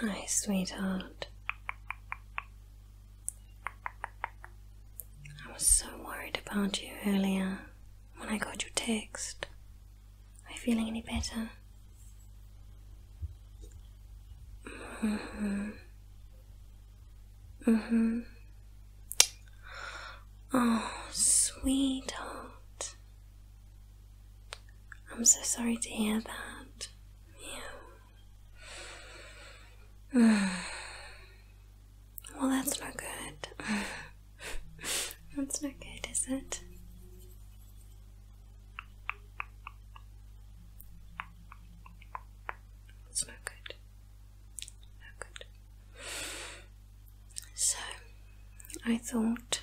Hi, sweetheart. I was so worried about you earlier when I got your text. Are you feeling any better? hmm hmm Oh, sweetheart. I'm so sorry to hear that. Yeah. well, that's not good. that's not good, is it? That's not good. Not good. So. I thought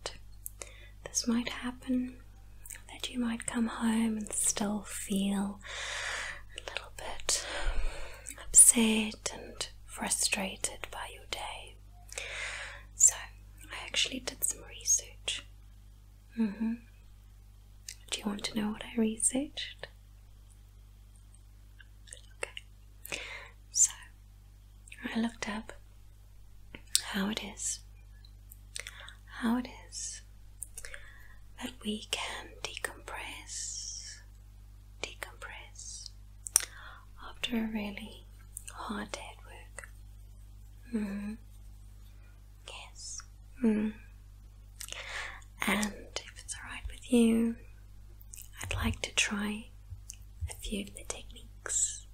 that this might happen, that you might come home and still feel a little bit upset and frustrated by your day. So, I actually did some research. Mm-hmm. Do you want to know what I researched? Okay. So, I looked up how it is, how it is that we can decompress, decompress after a really hard day at work. Mm. Yes. Mm. And if it's alright with you, I'd like to try a few of the techniques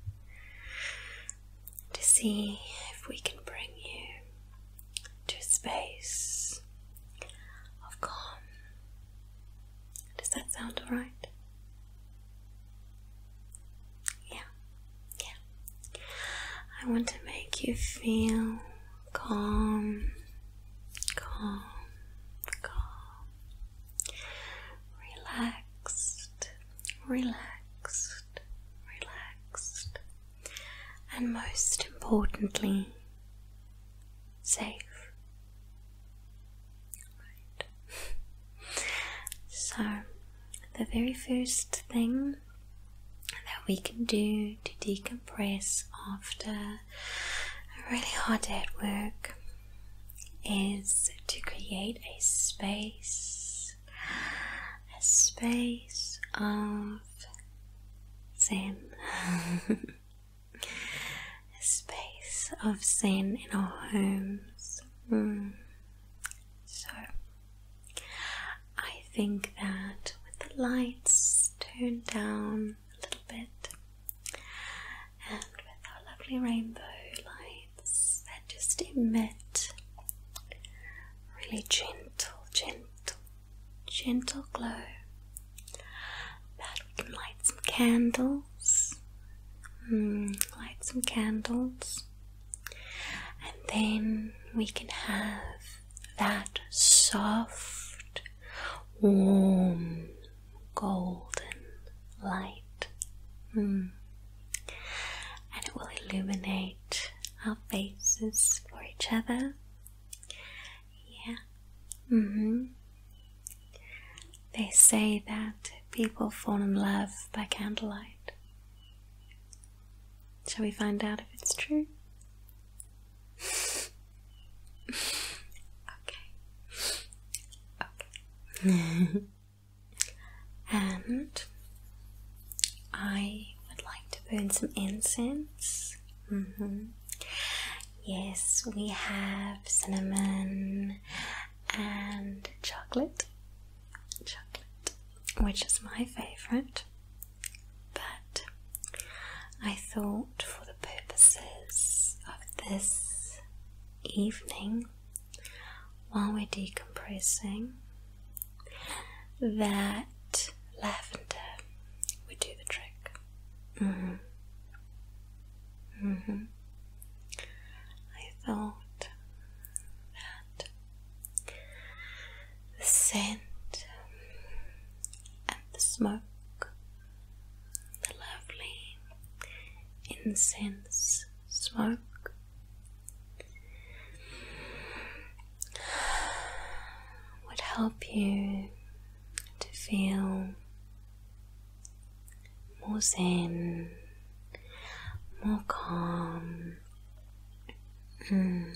to see if we can bring you to a space of calm. Does that sound alright? Yeah, yeah. I want to make you feel calm, calm, calm, relaxed, relaxed, relaxed, and most importantly, safe. Right. so, the very first thing that we can do to decompress after a really hard day at work is to create a space, a space of sin, a space of sin in our homes. Mm. So, I think that with the lights turned down a little bit, and with our lovely rainbow lights that just emit really gentle, gentle, gentle glow. But we can light some candles, mm, light some candles, and then we can have that soft, warm, golden light. Mm and it will illuminate our faces for each other. Yeah. hmm. They say that people fall in love by candlelight. Shall we find out if it's true? okay. Okay. and I would like to burn some incense. Mm-hmm. Yes, we have cinnamon and chocolate, chocolate, which is my favorite. But I thought for the purposes of this evening, while we're decompressing, that lavender would do the trick. Mm hmm. Mm hmm. I thought that the scent and the smoke, the lovely incense smoke. Would help you to feel more zen, more calm, mm,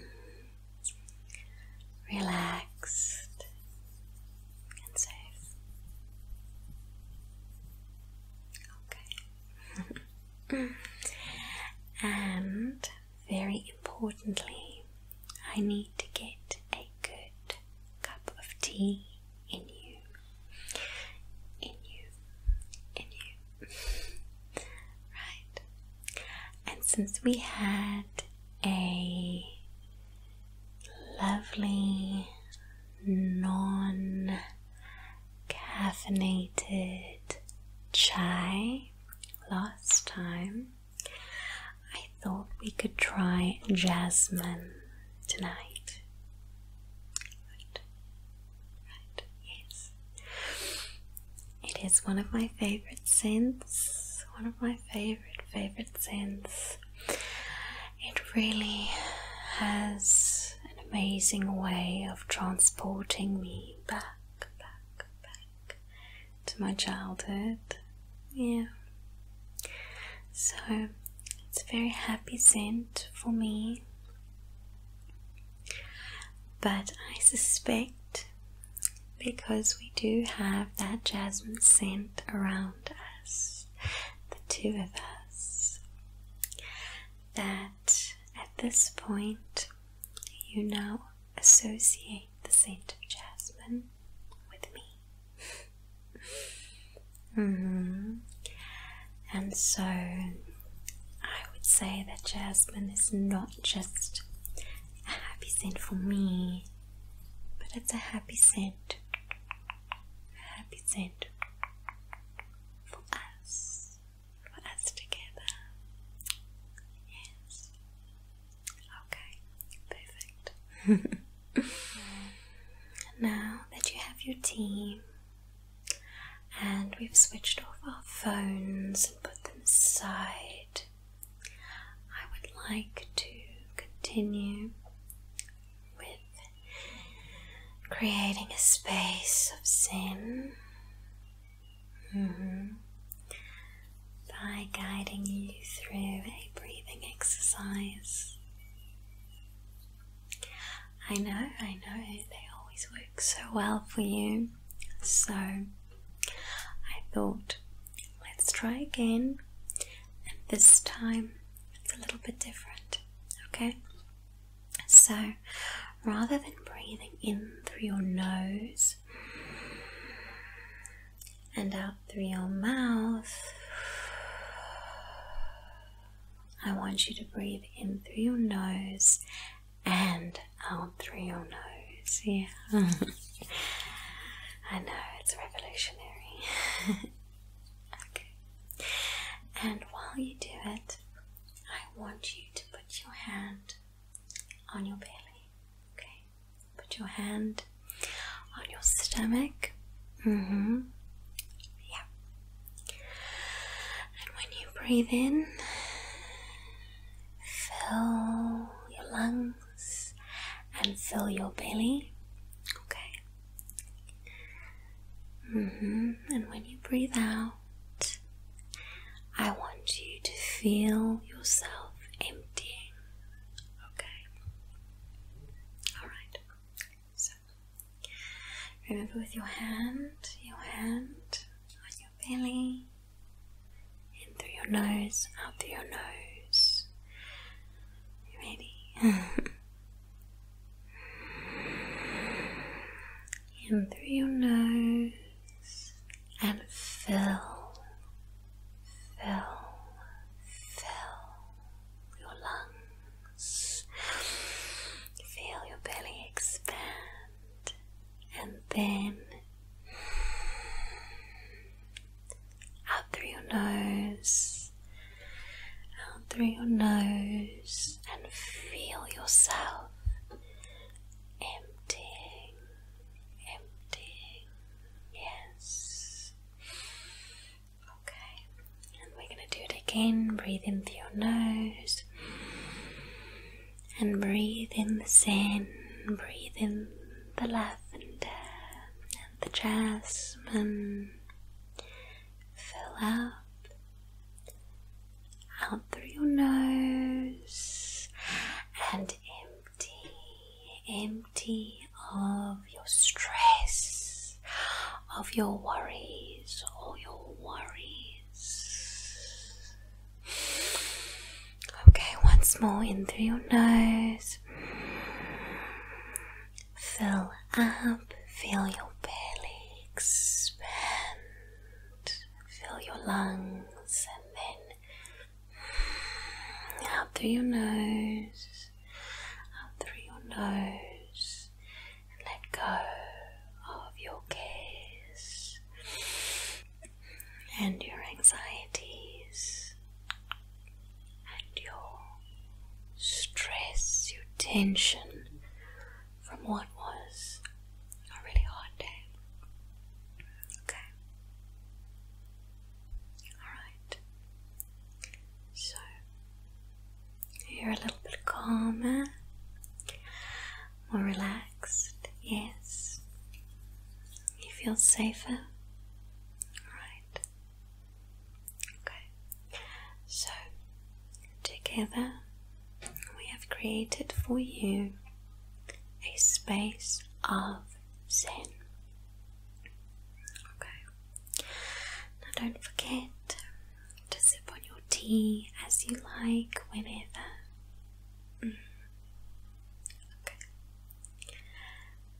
relaxed, and safe. Okay. and very importantly, I need to get a good cup of tea in you. In you. In you. right. And since we had a lovely non caffeinated chai last time. I thought we could try jasmine tonight. Right. Yes. It is one of my favorite scents. One of my favorite favorite scents. It really has an amazing way of transporting me back, back, back to my childhood. Yeah. So it's a very happy scent for me. But I suspect because we do have that jasmine scent around us the two of us, that at this point you now associate the scent of jasmine with me. Mm-hmm. And so I would say that jasmine is not just a happy scent for me, but it's a happy scent. A happy scent for us, for us together. Yes. Okay, perfect. now that you have your tea and we've switched off our phones and put them aside, I would like to continue with creating a space of sin mm-hmm. by guiding you through a breathing exercise. I know, I know, they always work so well for you. So I thought, let's try again, and this time it's a little bit different, okay? So rather than breathing in through your nose and out through your mouth, I want you to breathe in through your nose and out through your nose. Yeah. I know, it's revolutionary. Okay. And while you do it, I want you to put your hand on your belly. Okay. Put your hand on your stomach. hmm Yeah. And when you breathe in, fill your lungs and fill your belly. Okay. Mm-hmm. And when you breathe out, I want you to feel yourself emptying. Okay? Alright. So, remember with your hand, your hand on your belly, in through your nose, out through your nose. ready? in through your nose and fill, fill, fill your lungs. Feel your belly expand and then up through your nose out through your nose and feel yourself emptying, emptying. Yes. Okay, and we're going to do it again. Breathe in through your nose and breathe in the sand, breathe in the lavender and the jasmine. Fill up out through your nose and empty, empty of your stress, of your worries, all your worries. Okay, once more in through your nose Fill up, feel your belly expand, Fill your lungs, and then out through your nose, out through your nose, and let go of your cares and your anxieties and your stress, your tension from what was a really hard day. Okay. Alright. So, you're a little bit calmer, more relaxed, yes. You feel safer. Alright. Okay, so together we have created for you a space of Zen. Okay, now don't forget to sip on your tea as you like whenever. Mm. Okay,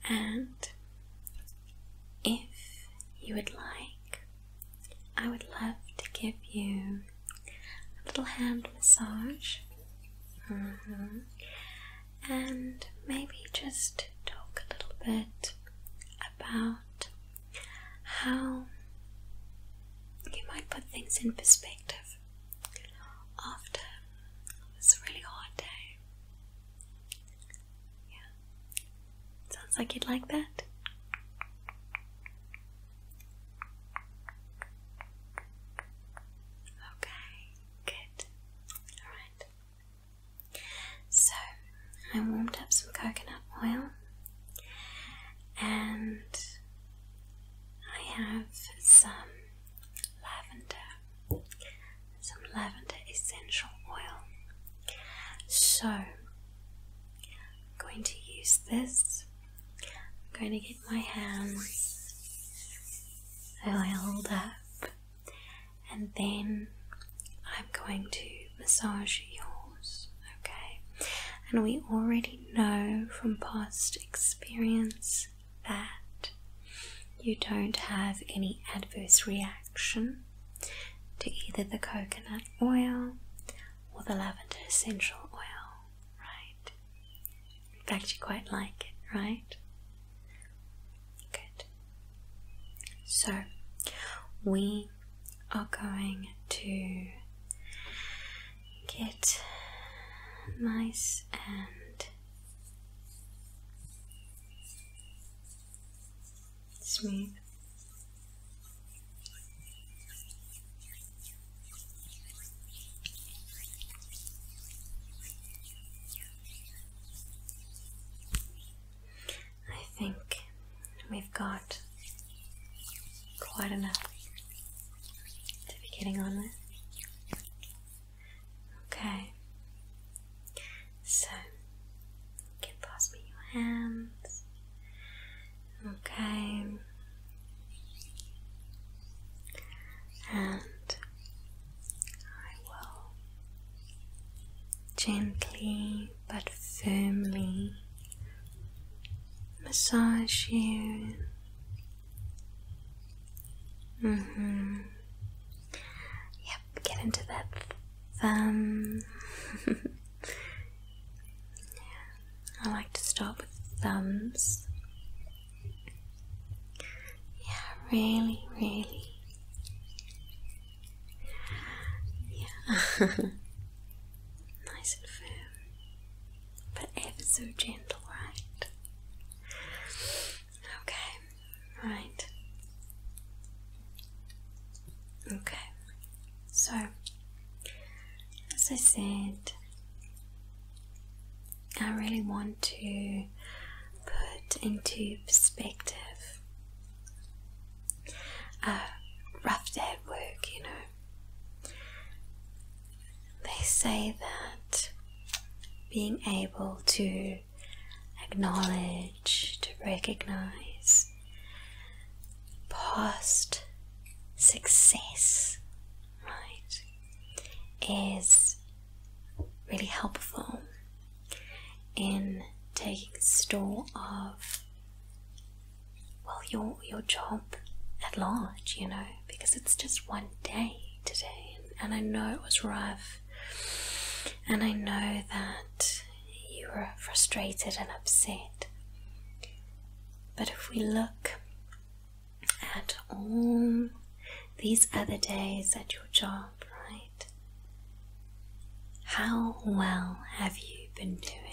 and if you would like, I would love to give you a little hand massage. Mm-hmm. And maybe just talk a little bit about how you might put things in perspective after this really hard day. Yeah. Sounds like you'd like that. Okay, good. Alright. So, I warmed up some coconut oil and I have some lavender, some lavender essential oil. So, I'm going to use this. I'm going to get my hands and I hold up and then I'm going to massage yours, okay? And we already know from past experience that you don't have any adverse reactions to either the coconut oil or the lavender essential oil, right? In fact, you quite like it, right? Good. So, we are going to get nice and smooth. I think we've got quite enough to be getting on with. Okay. So, get past me your hands. Okay. And I will gently but firmly massage you. hmm Yeah, get into that thumb. I like to start with thumbs. Yeah, really, really. Yeah. nice and firm. But ever so gentle, right? Okay, right. Okay, so as I said, I really want to put into perspective a uh, rough day work, you know. They say that being able to acknowledge to recognize past success, right, is really helpful in taking store of well your your job at large, you know, because it's just one day today, and I know it was rough, and I know that you were frustrated and upset. But if we look at all these other days at your job, right? How well have you been doing?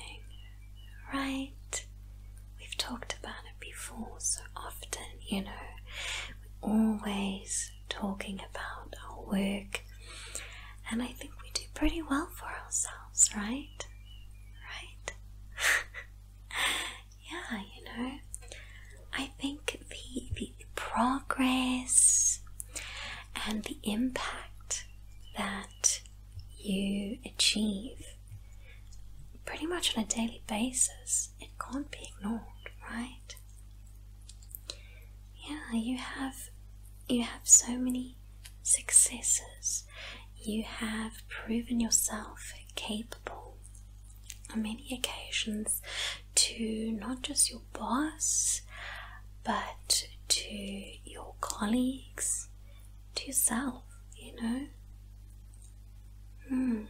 Right? We've talked about it before so often, you know. We're always talking about our work and I think we do pretty well for ourselves, right? Right? yeah, you know. I think the, the progress and the impact that you achieve pretty much on a daily basis, it can't be ignored, right? Yeah, you have you have so many successes. You have proven yourself capable on many occasions to not just your boss, but to your colleagues, to yourself, you know. Hmm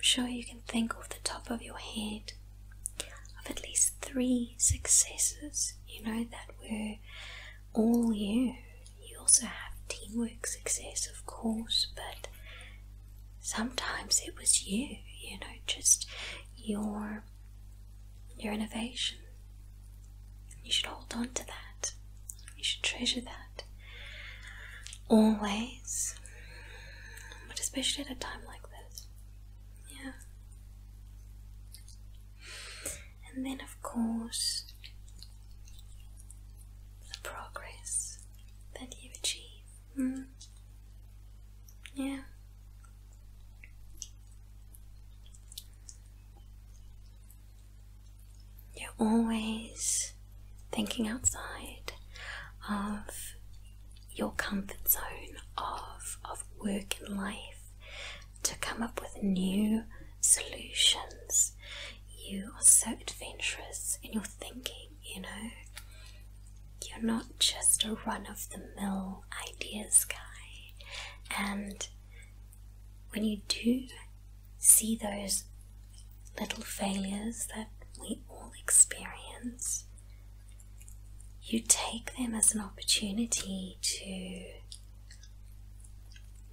sure you can think off the top of your head of at least three successes, you know, that were all you. You also have teamwork success, of course, but sometimes it was you, you know, just your your innovation. You should hold on to that. You should treasure that. Always. But especially at a time like this. Yeah. And then, of course, the progress that you achieve. Hmm. Yeah. You're always thinking outside of your comfort zone of, of work and life to come up with new solutions. You are so adventurous in your thinking, you know. You're not just a run of the mill ideas guy. And when you do see those little failures that we all experience, you take them as an opportunity to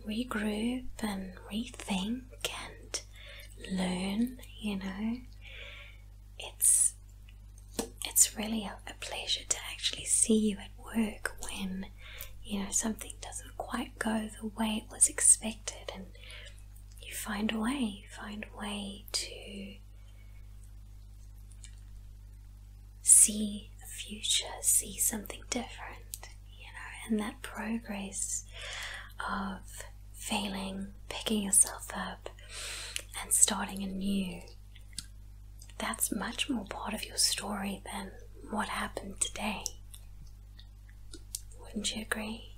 regroup and rethink and learn, you know. It's it's really a, pleasure to actually see you at work when you know something doesn't quite go the way it was expected and you find a way, find a way to see the future, see something different, you know, and that progress of failing, picking yourself up, and starting anew. That's much more part of your story than what happened today. Wouldn't you agree?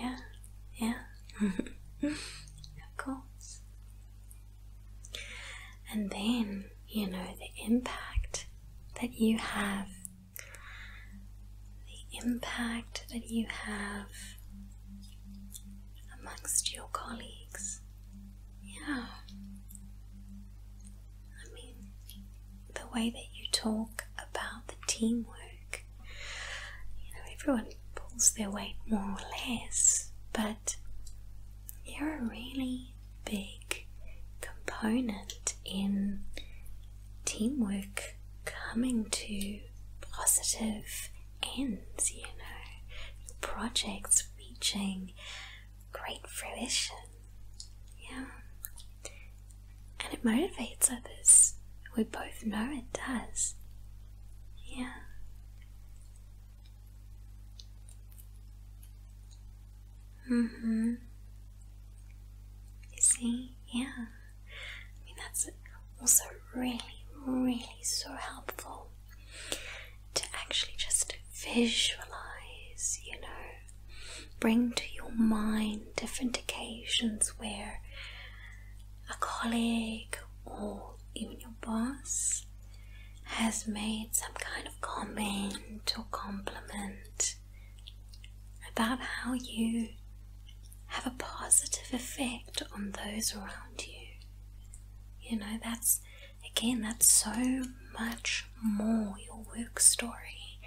Yeah, yeah, of course. And then you know the impact that you have, the impact that you have amongst your colleagues. Yeah. I mean, the way that you talk about the teamwork. You know, everyone pulls their weight more or less, but you're a really big component in teamwork coming to positive ends, you know, projects reaching great fruition. Yeah and it motivates others. We both know it does. Yeah. Mm-hmm. You see? Yeah. I mean, that's also really, really so helpful to actually just visualize, you know, bring to your mind different occasions where a colleague or even your boss has made some kind of comment or compliment about how you have a positive effect on those around you. You know, that's again, that's so much more your work story.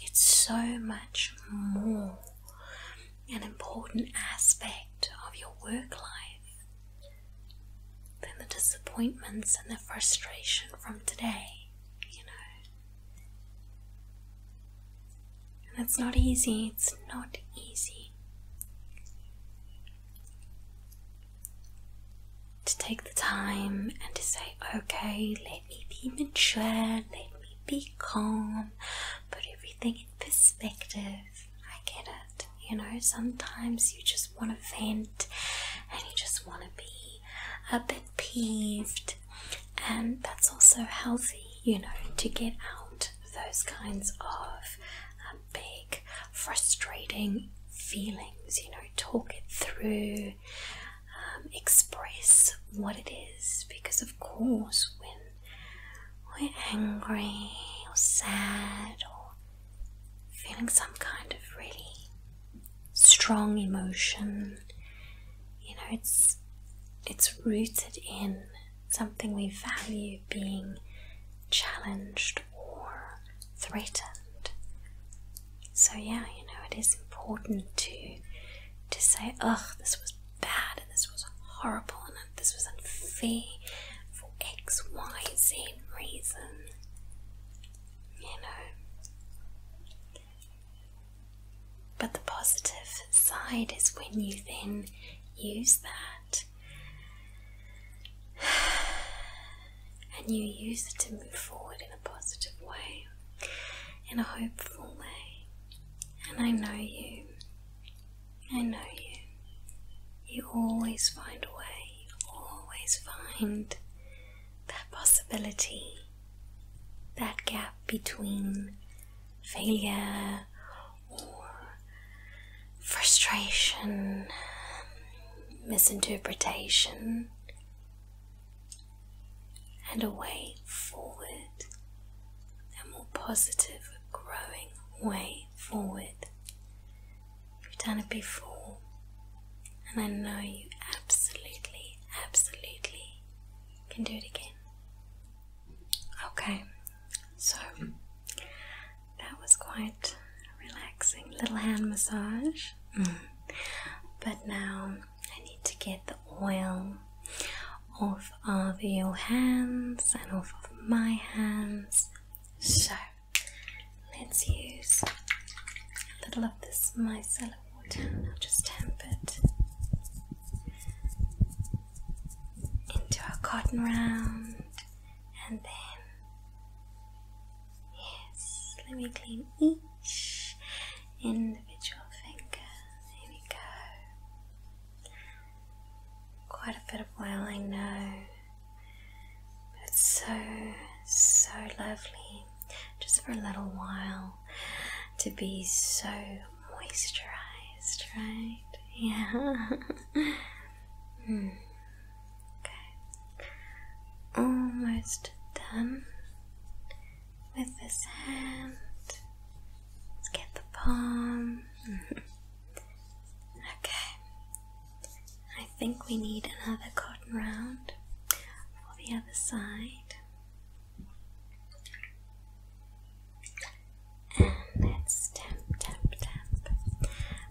It's so much more an important aspect of your work life, then the disappointments and the frustration from today, you know. And it's not easy, it's not easy to take the time and to say, okay, let me be mature, let me be calm put everything in perspective. I get it. You know, sometimes you just want to vent and you just want to be a bit peeved, and that's also healthy, you know, to get out those kinds of um, big, frustrating feelings. You know, talk it through, um, express what it is, because of course, when we're angry or sad or feeling some kind of really strong emotion you know it's it's rooted in something we value being challenged or threatened so yeah you know it is important to to say ugh this was bad and this was horrible and this was unfair for X, Y, Z reason. You know. But the positive side is when you then use that and you use it to move forward in a positive way, in a hopeful way. And I know you. I know you. You always find a way. You always find that possibility, that gap between failure or frustration, misinterpretation, and a way forward a more positive, growing way forward. You've done it before, and I know you absolutely, absolutely can do it again. Okay, so that was quite a relaxing little hand massage, mm. but now I need to get the the oil off of your hands and off of my hands. So let's use a little of this micellar water I'll just tamp it into our cotton round and then yes let me clean each individual finger there we go Quite a bit of wailing now, but it's so, so lovely just for a little while to be so moisturized, right? Yeah. Hmm. Okay. Almost done with this hand. Let's get the palm. okay. I think we need another cotton round for the other side. And let's tap, tap, tap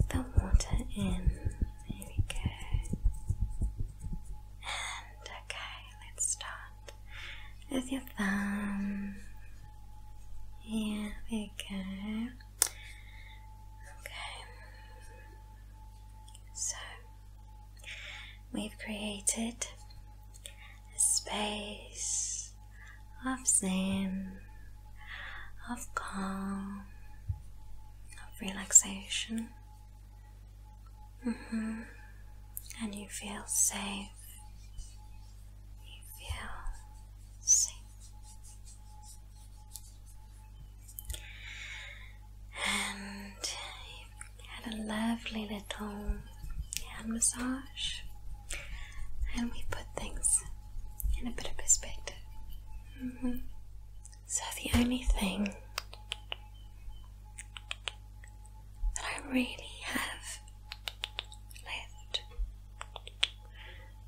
the water in. There we go. And okay, let's start with your thumb. Yeah, there go. Okay. So, we've created a space of zen, of calm, of relaxation. Mm-hmm. And you feel safe you feel safe. And you had a lovely little hand massage, and we put things in a bit of perspective. Mm-hmm. So, the only thing that I really have left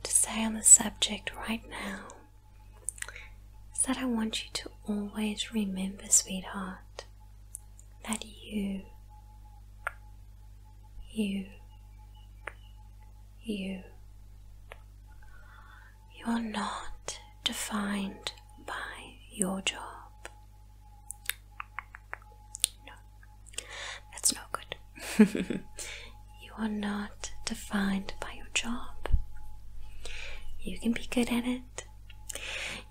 to say on the subject right now is that I want you to always remember, sweetheart, that you, you, you, you're not defined by your job that's no good. you are not defined by your job. You can be good at it.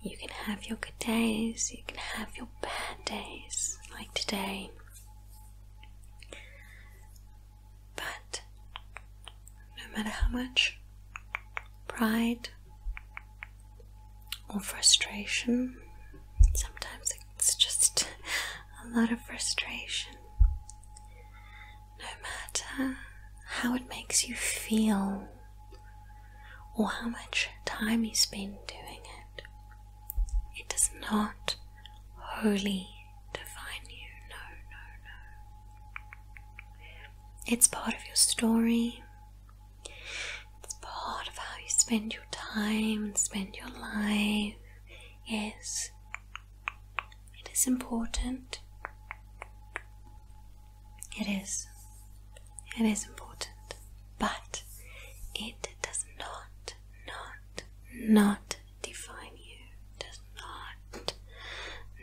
You can have your good days, you can have your bad days, like today. But no matter how much pride or frustration. Sometimes it's just a lot of frustration. No matter how it makes you feel or how much time you spend doing it, it does not wholly define you. No, no, no. It's part of your story. It's part of how you spend your time and spend your life. Yes, it is important. It is. It is important. But it does not, not, not define you. Does not,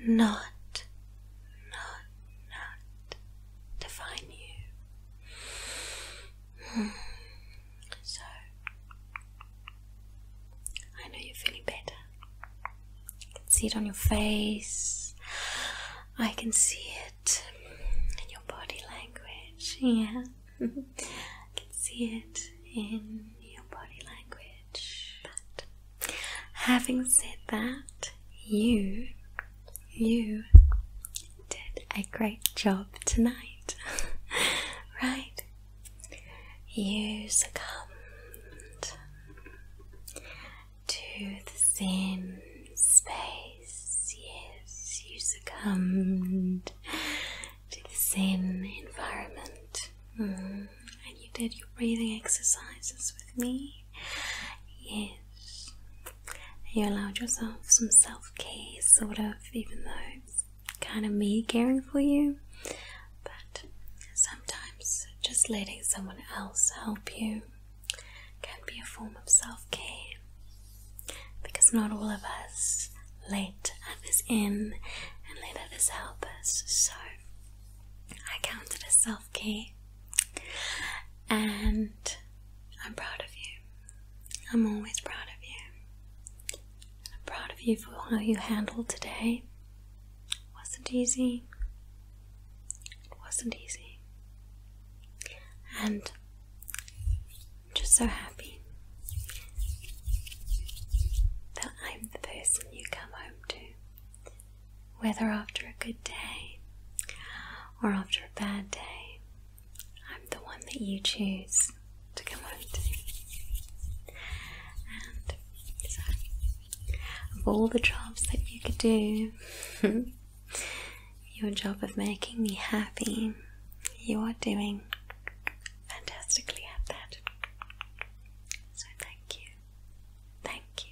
not, not, not define you. So, I know you're feeling better. I can see it on your face. I can see it in your body language. Yeah, I can see it in your body language. But having said that, you you did a great job tonight, right? You succumbed to the Zen space. Yes, you succumbed to the Zen environment. Mm. And you did your breathing exercises with me. Yes, you allowed yourself some self care, sort of, even though it's kind of me caring for you. But sometimes just letting someone else help you can be a form of self care because not all of us let others in and let others help us. So I counted as self Okay, and I'm proud of you. I'm always proud of you. I'm proud of you for how you handled today. It wasn't easy. It wasn't easy. And I'm just so happy that I'm the person you come home to, whether after a good day or after a bad day, I'm the one that you choose to come home to. And of all the jobs that you could do, your job of making me happy, you are doing fantastically at that. So, thank you. Thank you.